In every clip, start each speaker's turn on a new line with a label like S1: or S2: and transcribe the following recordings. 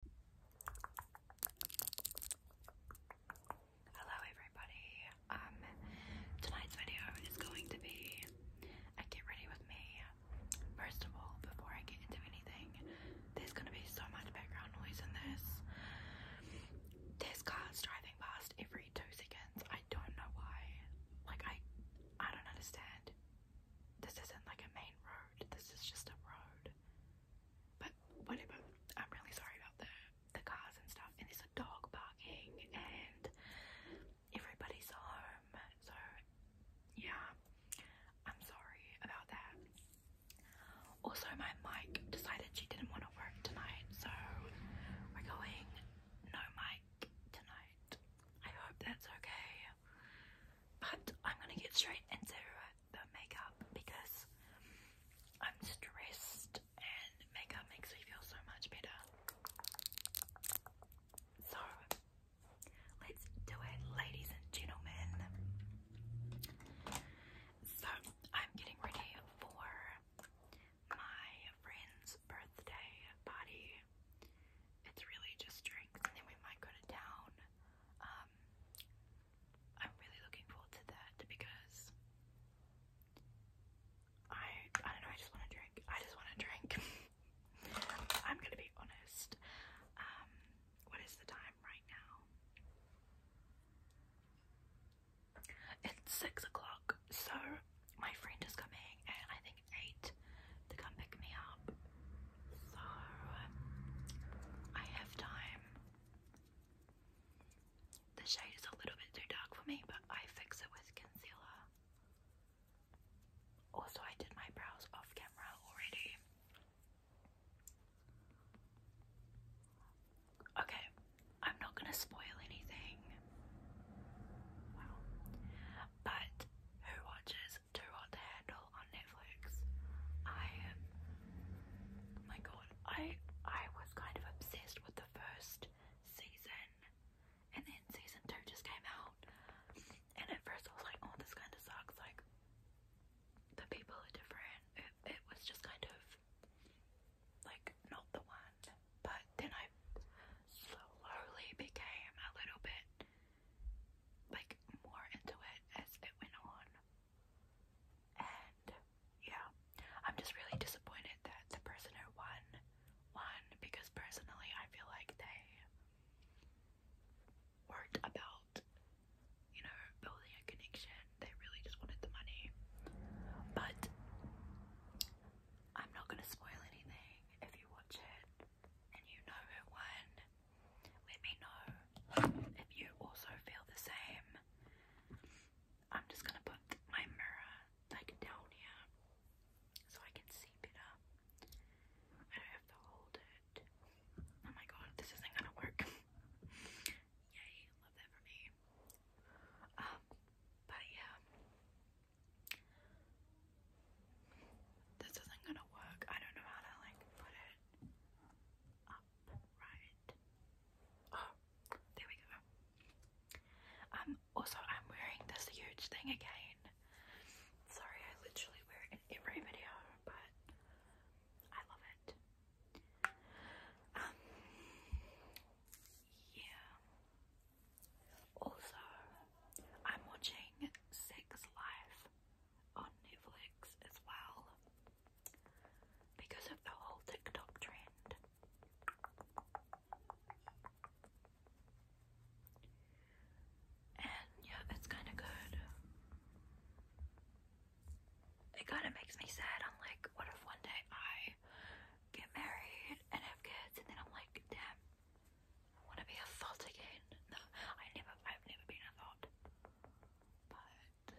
S1: Hello everybody. Um tonight's video is going to be a get ready with me. First of all, before I get into anything, there's gonna be so much background noise in this. There's cars driving past every two seconds. I don't know why. Like I I don't understand. This isn't like a main road. This is just a road. But whatever. I'm really sorry about the the cars and stuff. And there's a dog barking and everybody's home. So yeah. I'm sorry about that. Also my mic decided she didn't want to work tonight, so we're going no mic tonight. I hope that's okay. But I'm gonna get straight into it the makeup because I'm stressed and makeup makes me feel so much better. So let's do it, ladies and gentlemen. So I'm getting ready for my friend's birthday party. It's really just drinks and then we might go to town. Um, I'm really looking forward to that because I I don't know, I just want to drink. I just want to drink. I'm gonna be honest. Um, what is the time right now? It's six o'clock, so my friend is coming and I think eight to come pick me up. So I have time. The shade is a little bit too dark for me, but I fix it with concealer. Also, I did my brows off camera already. Okay, I'm not gonna spoil anything. Well, but who watches Too Hot to Handle Girl on Netflix. I am. Um, oh my god, I I was kind of obsessed with the first season, and then season two just came out, and at first I was like, oh, this kind of sucks. Like the people are different. It, it was just kind of like not the one. But then I slowly became a little bit like more into it as it went on. And yeah, I'm just really disappointed that the person who won won because personally, I feel like they weren't about, you know, building a connection. They really just wanted the money. But I'm not gonna spoil anything if you watch it and you know who won. Let me know if you also feel the same. I'm just gonna put my mirror like down here so I can see better. I don't have to hold it. Oh my god, this isn't gonna work. Yay, love that for me. Um, but yeah. This isn't gonna work. I don't know how to like put it up right. Oh, there we go. Um, also, I'm wearing this huge thing again. Sorry, I literally wear it in every video, but I love it. Um, yeah. Also, I'm watching Sex Life on Netflix as well because of the whole TikTok trend. And yeah, it's kind of good. It kind of makes me sad. I'm like, what if one day I get married and have kids, and then I'm like, damn, want to be a thought again. No, I never, I've never been a thought. But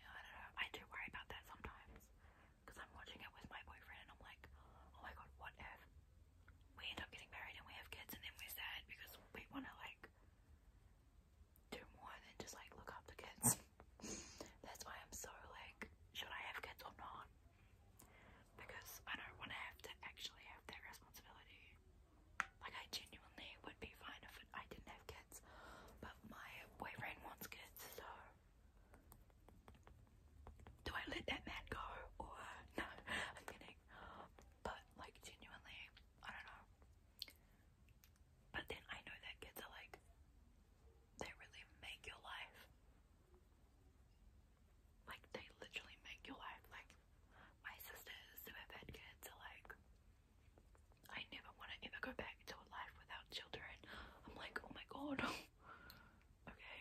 S1: yeah, I don't know. I do worry about that sometimes because I'm watching it with my boyfriend and I'm like, oh my god, what if we end up getting married and we have kids and then we're sad because we want to like do more than just like look up the kids. That's why I'm so like, should I have kids or not? Because I don't want to have to actually have that responsibility. Like I genuinely would be fine if I didn't have kids, but my boyfriend wants kids, so do I let that man go or no? I'm kidding. But like genuinely, I don't know. But then I know that kids are like they really make your life. Like they literally make your life. Like my sisters who have had kids are like I never want to ever go back to a life without children. I'm like, oh my god. okay.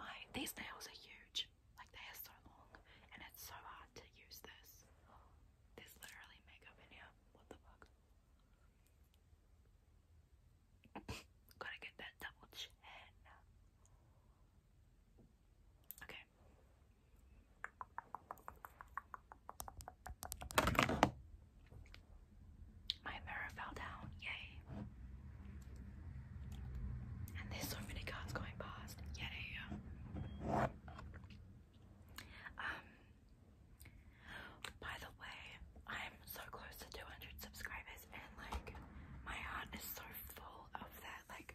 S1: My these nails are huge. Like they are so long and it's so hard to use this. There's literally makeup in here. What the fuck? Gotta get that double chin. Okay. My mirror fell down, yay. And there's so many cars going past, yay. Um, by the way, I'm so close to 200 subscribers, and like, my heart is so full of that, like,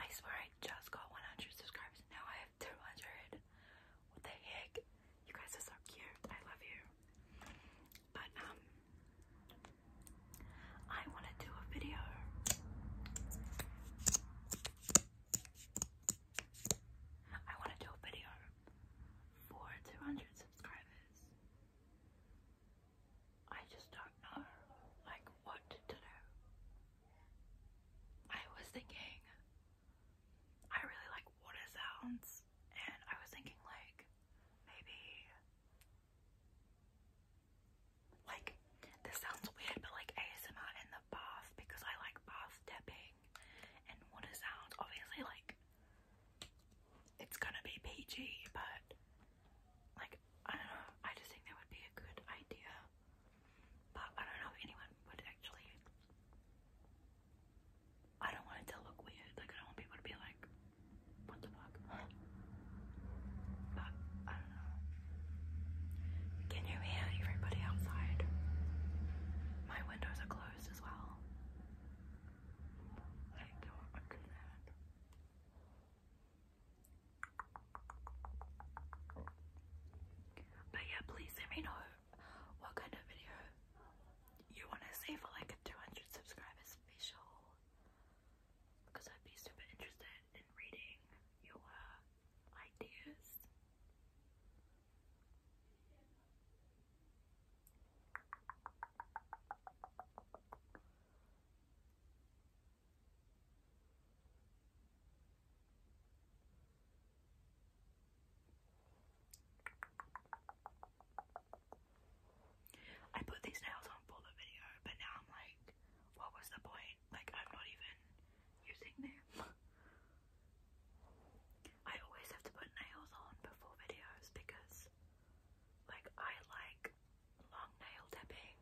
S1: I swear I just got 100 subscribers and now I have 200. What the heck? You guys are so cute. I love you. But, um, I want to do a video. I want to do a video for 200 subscribers. I just don't know, like, what to do. I was thinking, I really like water sounds, and I was thinking, like, maybe, like, this sounds weird, but like ASMR in the bath because I like bath dipping and water sounds. Obviously, like, it's gonna be PG, but like, I don't know, I just think that would be a good idea. But I don't know if anyone would actually. I don't want it to look weird. Like, I don't want people to be like, what the fuck? But I don't know. Can you hear everybody outside? My windows are closed as well. Like, I'm concerned. But yeah, please let me know what kind of video you want to see for like a 200 subscribers special. Because I'd be super interested in reading your ideas. I put these nails on for the video, but now I'm like, what was the point? Like, I'm not even using them. I always have to put nails on before videos because, like, I like long nail tapping.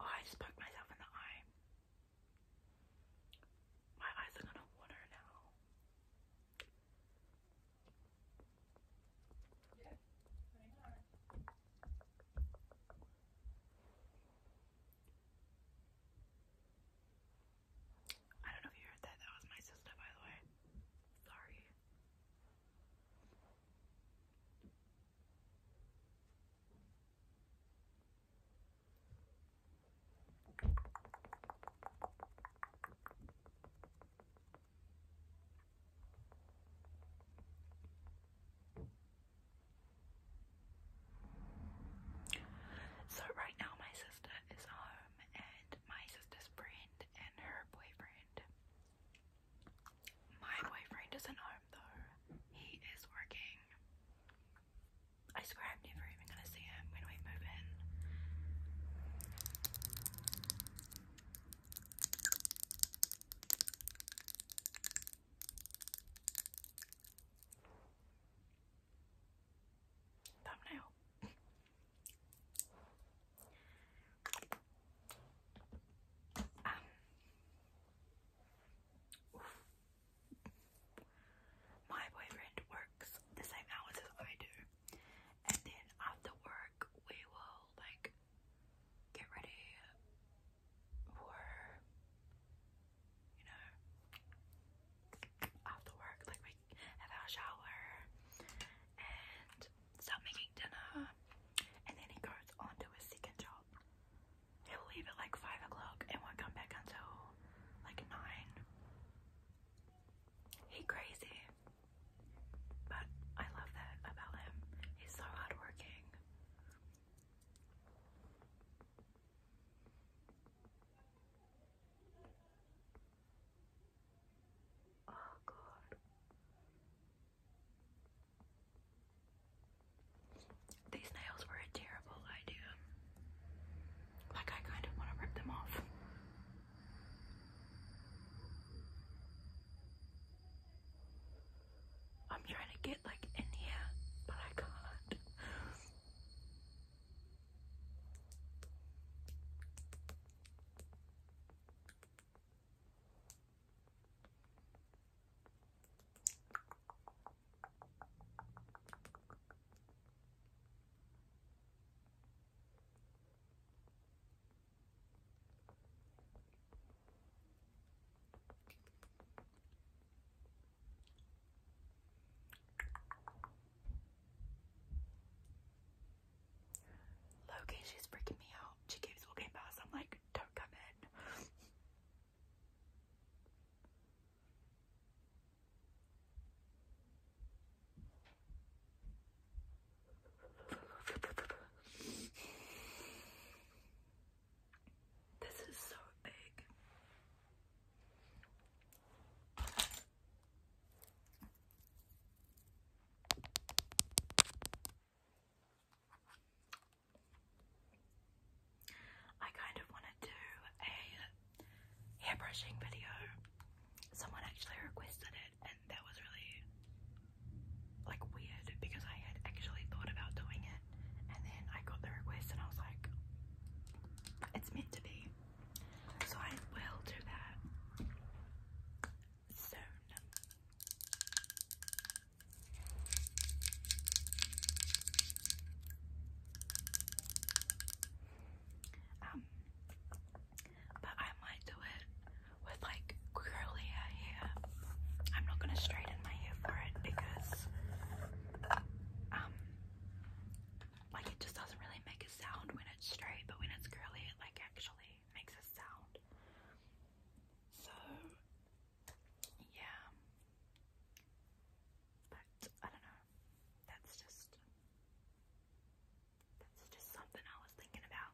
S1: Oh, I just poked myself in the eye. My eyes are gonna water now. I don't know if you heard that. That was my sister, by the way. Sorry. So, right now, my sister is home, and my sister's friend and her boyfriend my boyfriend isn't home though. He is working. I swear I'm never even gonna see him when we move in. Thumbnail. Um, my boyfriend works the same hours as I do, and then after work, we will like get ready for you know after work, like we have our shower and start making dinner, and then he goes on to his second job. They will leave at like 5 o'clock and won't come back until like 9. He crazy. But I love that about him. He's so hardworking. Oh god. These nails were a terrible idea. Like, I kind of want to rip them off. I'm trying to get like in here, but I can't. Loki, she's freaking me out. She keeps walking past. I'm like, don't come in. This is so big. I kind of want to do a hair brushing video. Someone actually requested it, and that was really like weird because I had actually thought about doing it, and then I got the request, and I was like, it's meant to be. So I will do that soon. Um, but I might do it with like curlier hair. I'm not gonna straighten my hair for it because um like it just doesn't really make a sound when it's straight, but when it's curly it like actually makes a sound. So yeah. But I don't know. That's just that's just something I was thinking about.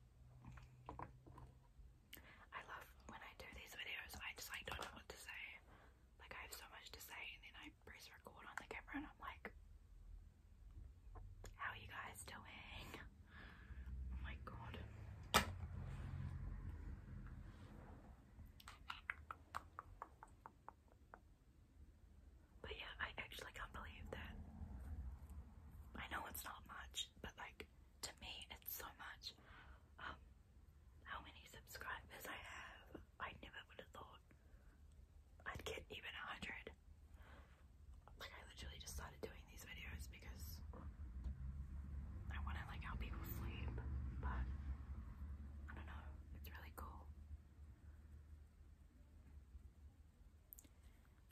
S1: I love when I do these videos. I just like don't know what to say. Like I have so much to say, and then I press record on the camera, and I'm like, "How are you guys doing?" Oh my god. But yeah, I actually can't believe that. I know it's not much, but like to me, it's so much. Um, how many subscribers I have? I never would have thought I'd get even a hundred. Like I literally just started doing these videos because I want to like how people sleep, but I don't know. It's really cool.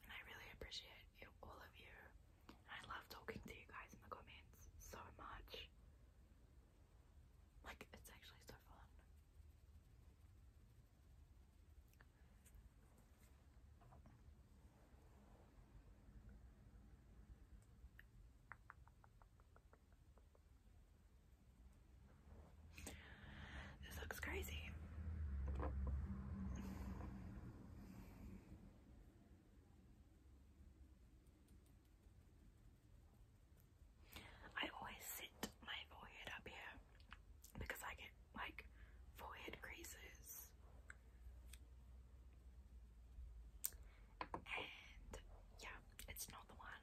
S1: And I really appreciate you, all of you. I love talking to you guys in the comments so much. Like, it's actually so fun. This looks crazy. I always sit my forehead up here because I get like forehead creases and yeah, it's not the one.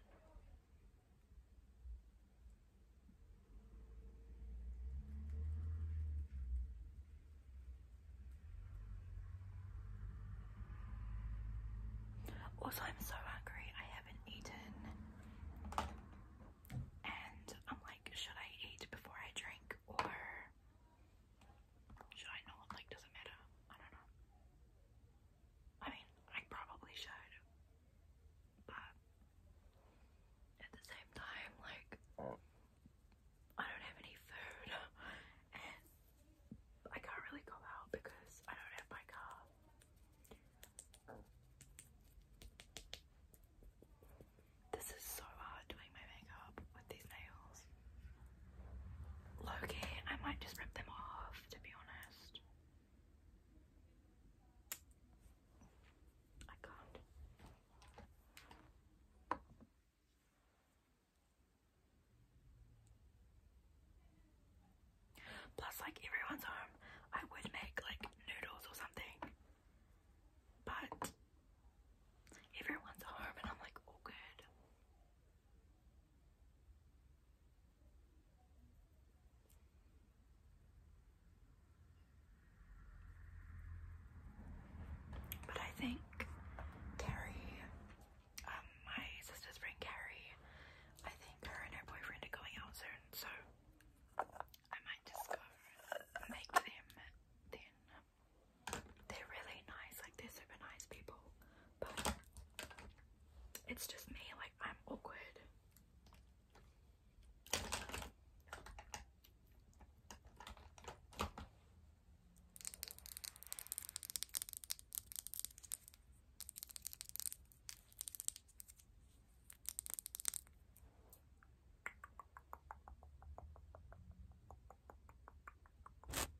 S1: Also, I'm so hungry. I haven't eaten, and I'm like, should I eat before I drink or should I not? Like, does it matter? I don't know. I mean, I probably should, but at the same time, like, I don't have any food, and I can't really go out because I don't have my car. This is so hard doing my makeup with these nails. Loki, I might just rip them off to be honest. I can't. Plus, like everyone's home, I would make like noodles or something. But everyone's home, and I'm like all good. But I think Carrie, um, my sister's friend Carrie, I think her and her boyfriend are going out soon, so I might just go make them then. They're really nice, like they're super nice people, but it's just me, like I'm awkward.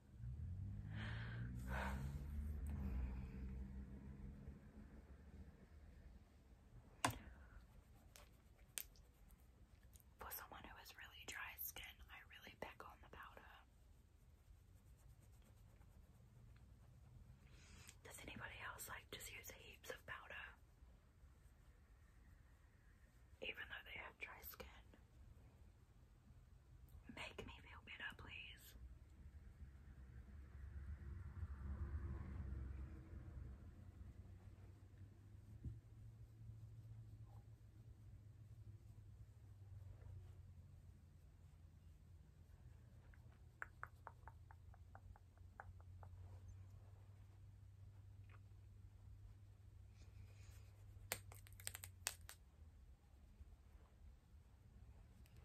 S1: For someone who has really dry skin, I really pick on the powder. Does anybody else like just use heaps of powder? Even though they have dry skin. Make me feel better, please.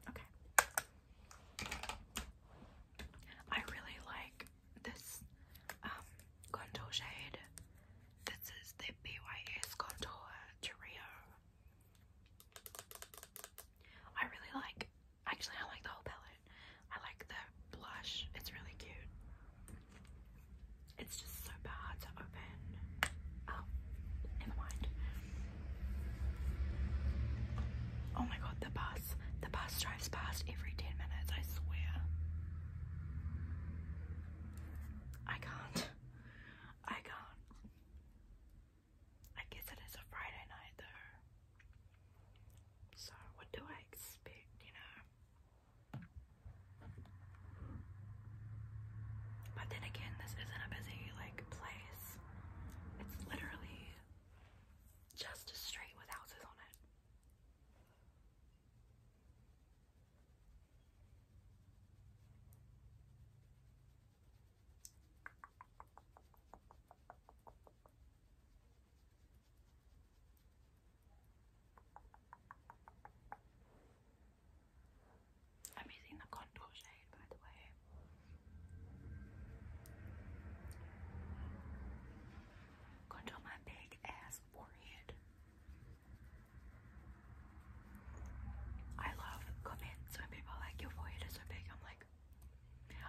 S1: Okay. I really like this um, contour shade. This is the BYS Contour Trio. I really like, actually I like the whole palette. I like the blush. It's really cute. It's just so bad open. Oh, never mind. Oh my god, the bus. The bus drives past every 10 minutes, I swear. I can't. I can't. I guess it is a Friday night though. So, what do I expect, you know? But then again, this isn't a busy like place. It's literally just a street with houses on it. I'm using the contour shade by the way. Contour my big ass forehead. I love comments when people like your forehead is so big. I'm like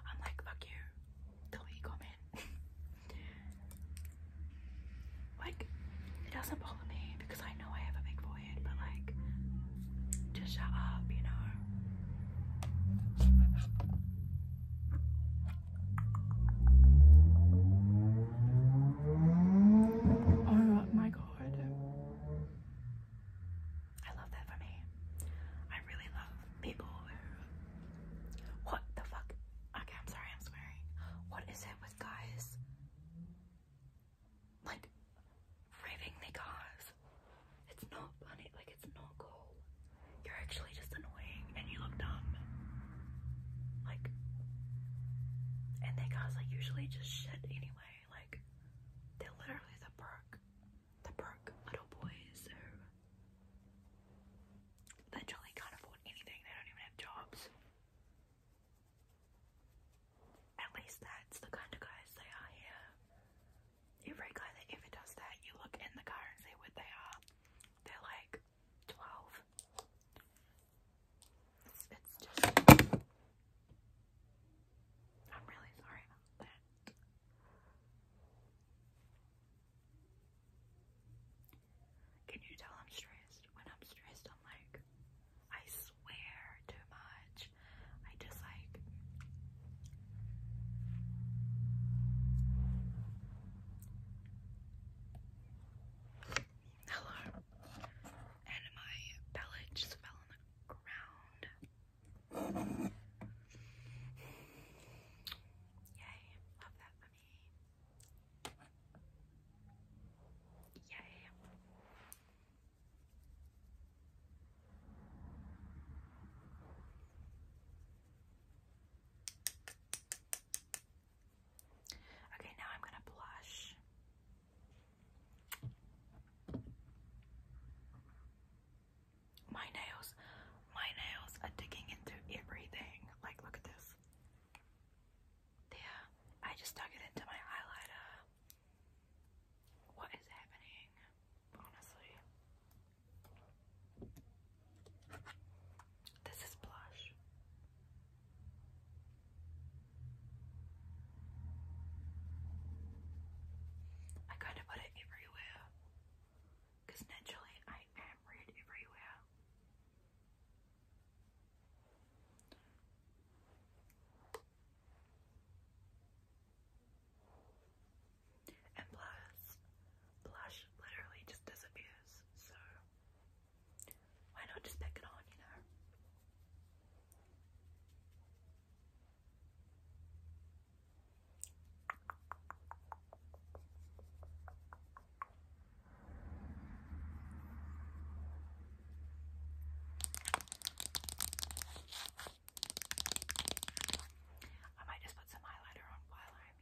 S1: I'm like fuck you. Delete comment. like it doesn't bother me because I know I have a big forehead, but like, just shut up, you know. Oh my god. I love that for me. I really love people What the fuck? Okay, I'm sorry, I'm swearing. What is it with guys like revving their cars. It's not funny, like it's not cool. You're actually just annoying and you look dumb. Like and their cars like usually just shit anyway, like they're literally the broke the broke little boys who literally can't afford anything, they don't even have jobs. At least that's the kind of guys they are Every guy that ever does that, you look in the car and see what they are. They're like 12. it's just. I'm really sorry about that. Can you tell I'm stressed? When I'm stressed, I'm like, I swear too much. I just like Hello. And my pellet just fell on the ground. Yay, love that for me. Yay. Okay, now I'm going to blush. My nails, my nails are digging into everything. Like, look at this. There, I just dug it into my eyeliner what is happening, honestly. This is blush. I kind of put it everywhere because naturally I am red everywhere. And plus, blush literally just disappears, so why not just pick it on, you know? I might just put some highlighter on while I'm here.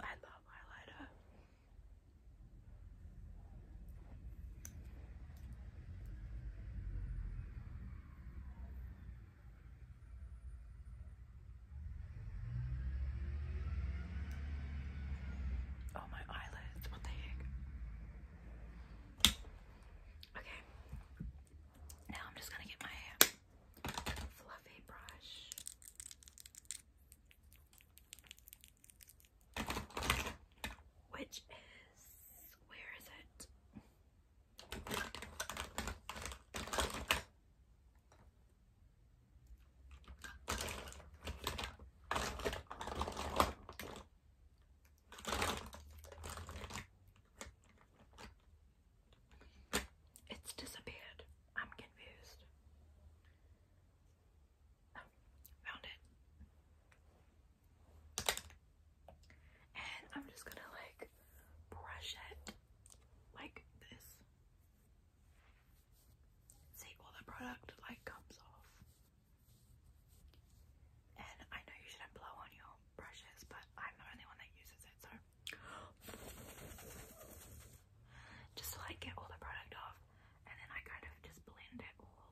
S1: I love highlighter. Oh, my eyelids, what the heck? Okay, now I'm just gonna get my hair fluffy brush. Which is, where is it? It's disappeared. I'm confused. Oh, found it. And I'm just gonna like brush it like this. See, all the product like comes off. And I know you shouldn't blow on your brushes, but I'm the only one that uses it, so just like get all the product off and then I kind of just blend it all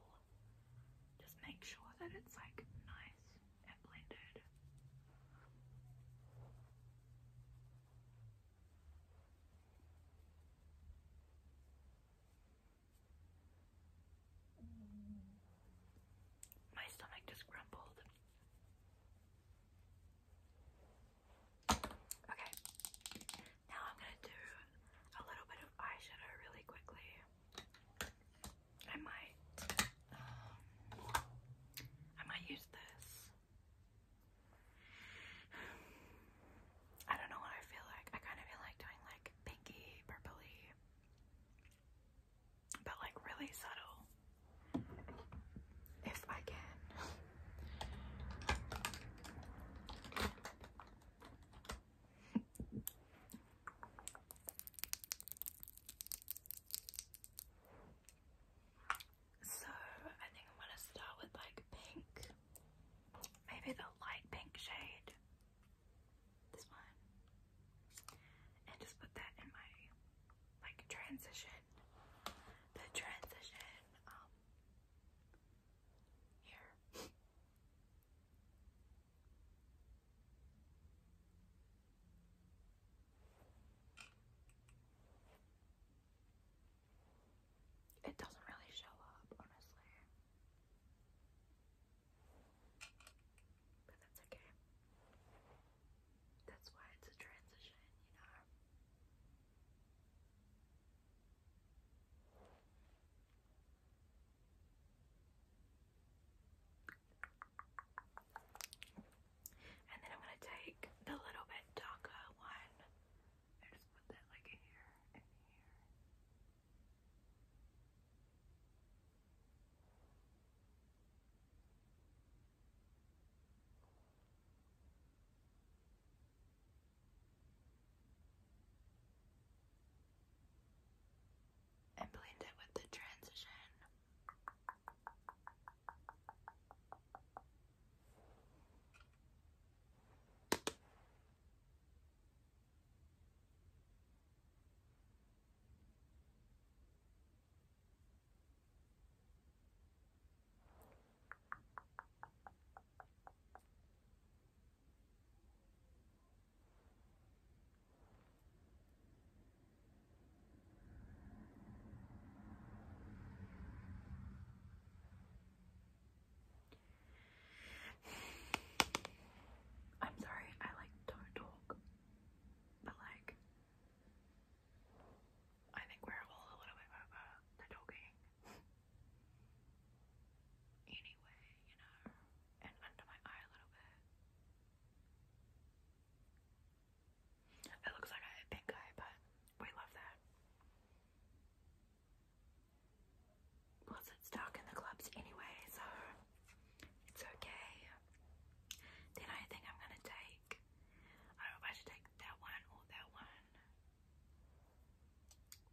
S1: just make sure that it's like nice and blended my stomach just grumbled. Okay, now I'm gonna do a little bit of eyeshadow really quickly. I might, um, I might use this. I don't know what I feel like. I kind of feel like doing like pinky, purpley but like really subtle if I can. So, I think I'm gonna start with like pink, maybe the light pink shade, this one, and just put that in my like transition. The transition, um, here. It doesn't really show up, honestly. But that's okay. That's why it's a transition, you know. And then I'm going to take the little bit darker one and just put that like here and here and blend it with the transition. I'm sorry, I like don't talk, but like I think we're all a little bit over the talking. anyway, you know, and under my eye a little bit. It looks like I pink eye, but we love that. Plus, it's dark in the clubs anyway, so it's okay. Then I think I'm gonna take I don't know if I should take that one or that one.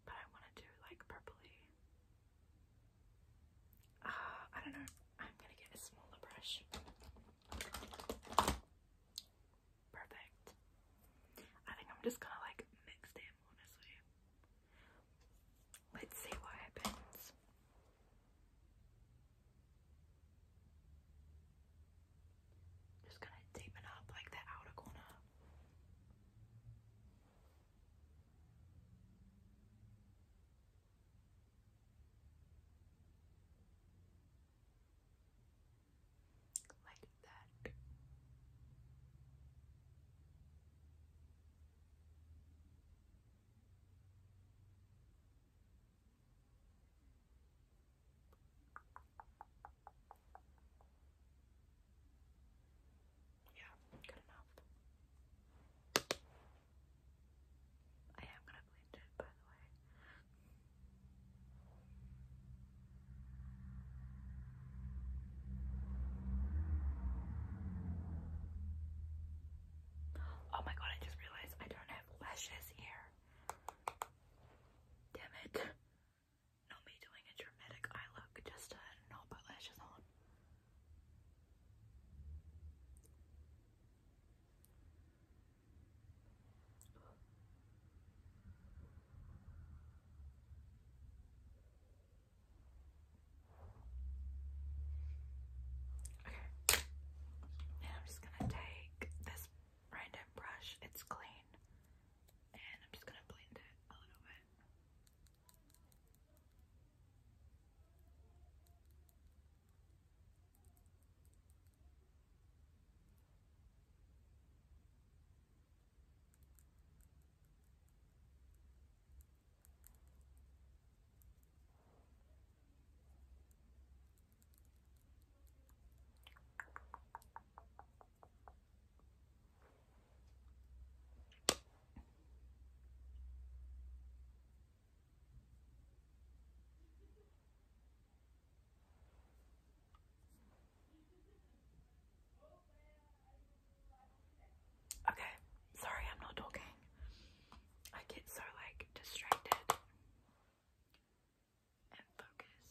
S1: But I want to do like purpley. Uh, I don't know. I'm gonna get a smaller brush. Perfect. I think I'm just gonna like mix them, honestly. Let's see what happens. Just gonna deepen up like the outer corner. Like that. Yeah, good enough. I am gonna blend it, by the way. Oh my god, I just realized I don't have lashes here. Damn it. Not me doing a dramatic eye look just to not put lashes on. Okay. Now I'm just gonna take this random brush. It's clean. And I'm just gonna blend it a little bit. Okay, sorry, I'm not talking. I get so like distracted and you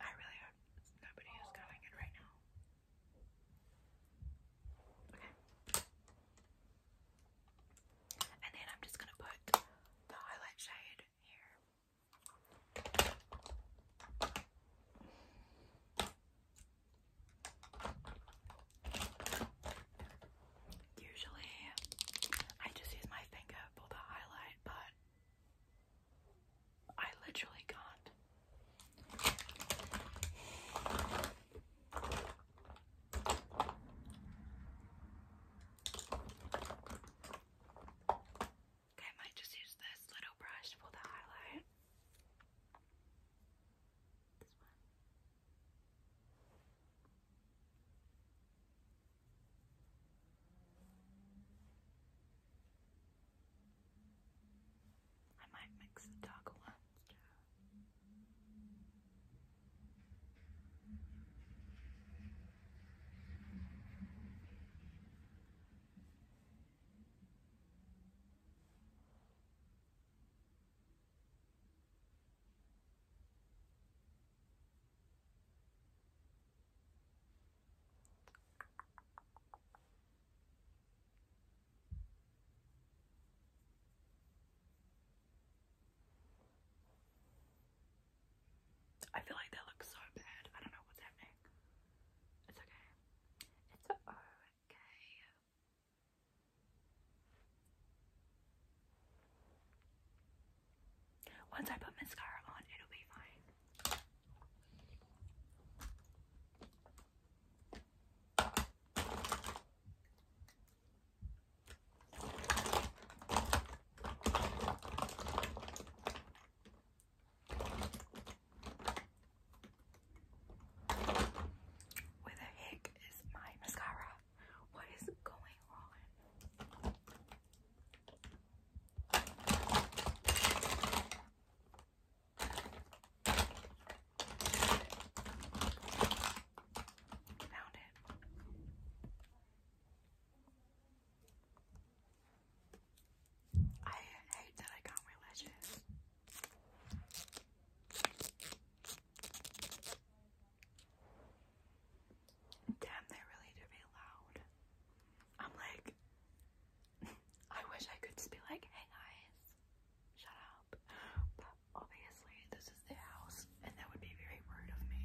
S1: I really hope nobody is going in right now. Okay. And then I'm just going to put the highlight shade here. Usually, I just use my finger for the highlight, but I literally got. I might just use this little brush for the highlight. I might mix the darker ones I feel like that looks so bad. I don't know what's happening. It's okay. It's a O, okay. Once I put mascara on, it'll be fine. Where the heck is my mascara? What is going on? Found it. I hate that I got religious. Damn, they really do be loud. I'm like, I wish I could just like, hey guys, shut up. But obviously, this is their house, and that would be very rude of me.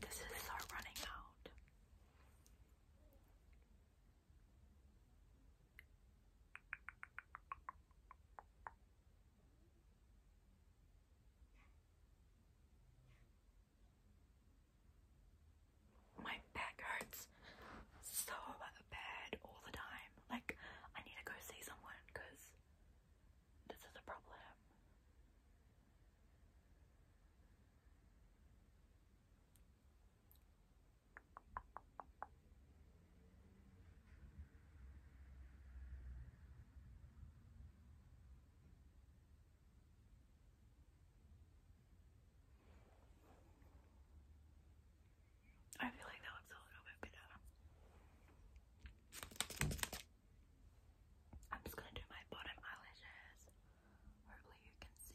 S1: This is so running out. My back hurts so bad all the time. Like, I need to go see someone because this is a problem. I feel like that looks a little bit better. I'm just going to do my bottom eyelashes. Hopefully, you can see.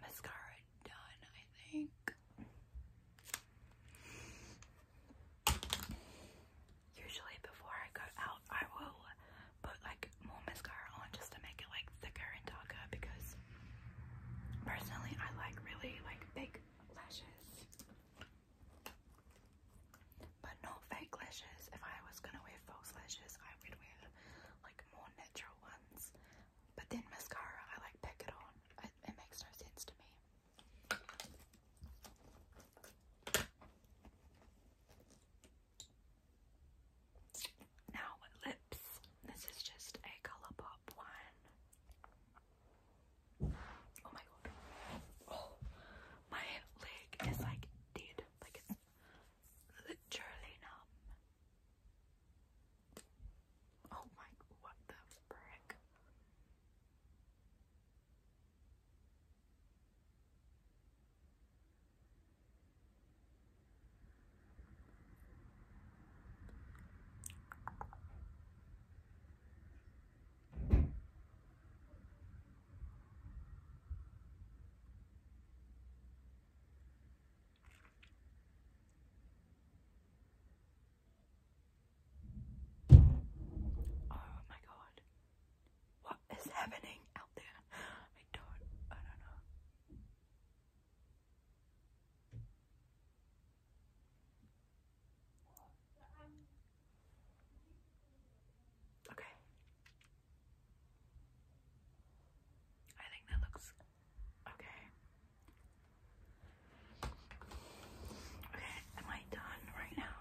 S1: mascara done, I think. Usually before I go out, I will put like more mascara on just to make it like thicker and darker because personally I like really like big lashes. But not fake lashes. If I was gonna wear false lashes, I would wear like more natural ones. But then mascara, I like pick it on. It, makes no sense to me. Now lips. This is just a color pop one. Oh my god. Oh my leg is like dead. Like it's literally numb. Oh my, what the frick? Oh my god. What is happening out there? I don't I don't know. Okay. I think that looks Okay. Okay, am I done right now?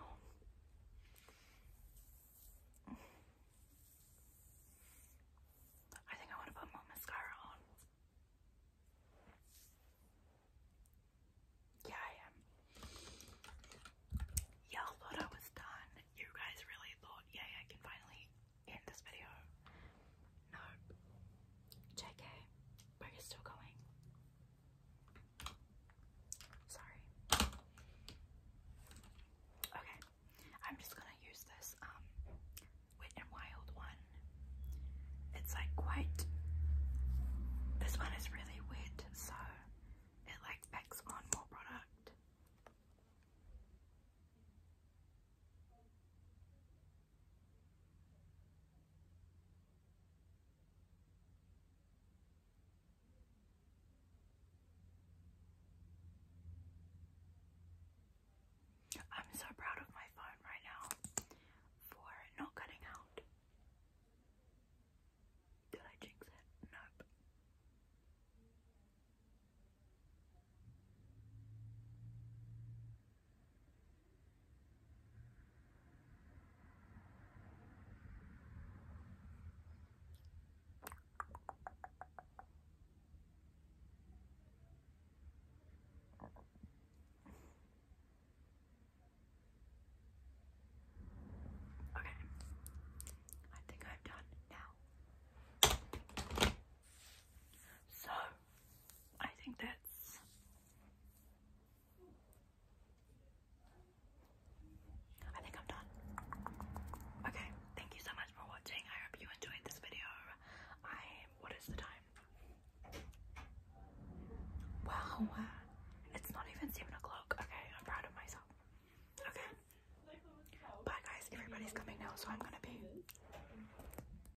S1: I think I want to put more mascara on. Yeah, I am. Y'all thought I was done. You guys really thought, yeah, I can finally in this video. No. JK, but you still going. Sorry. Okay, I'm just gonna use this um Wet and Wild one. It's like quite. This one is really wet, so it like packs on more product. I'm so proud of my phone right now for not cutting out. Did I jinx it? Nope. Okay, I think I'm done now. So I think that's I think I'm done. Okay, thank you so much for watching. I hope you enjoyed this video. I what is the time? Wow, uh, it's not even seven o'clock. Okay, I'm proud of myself. Okay. Bye guys, everybody's coming now, so I'm gonna be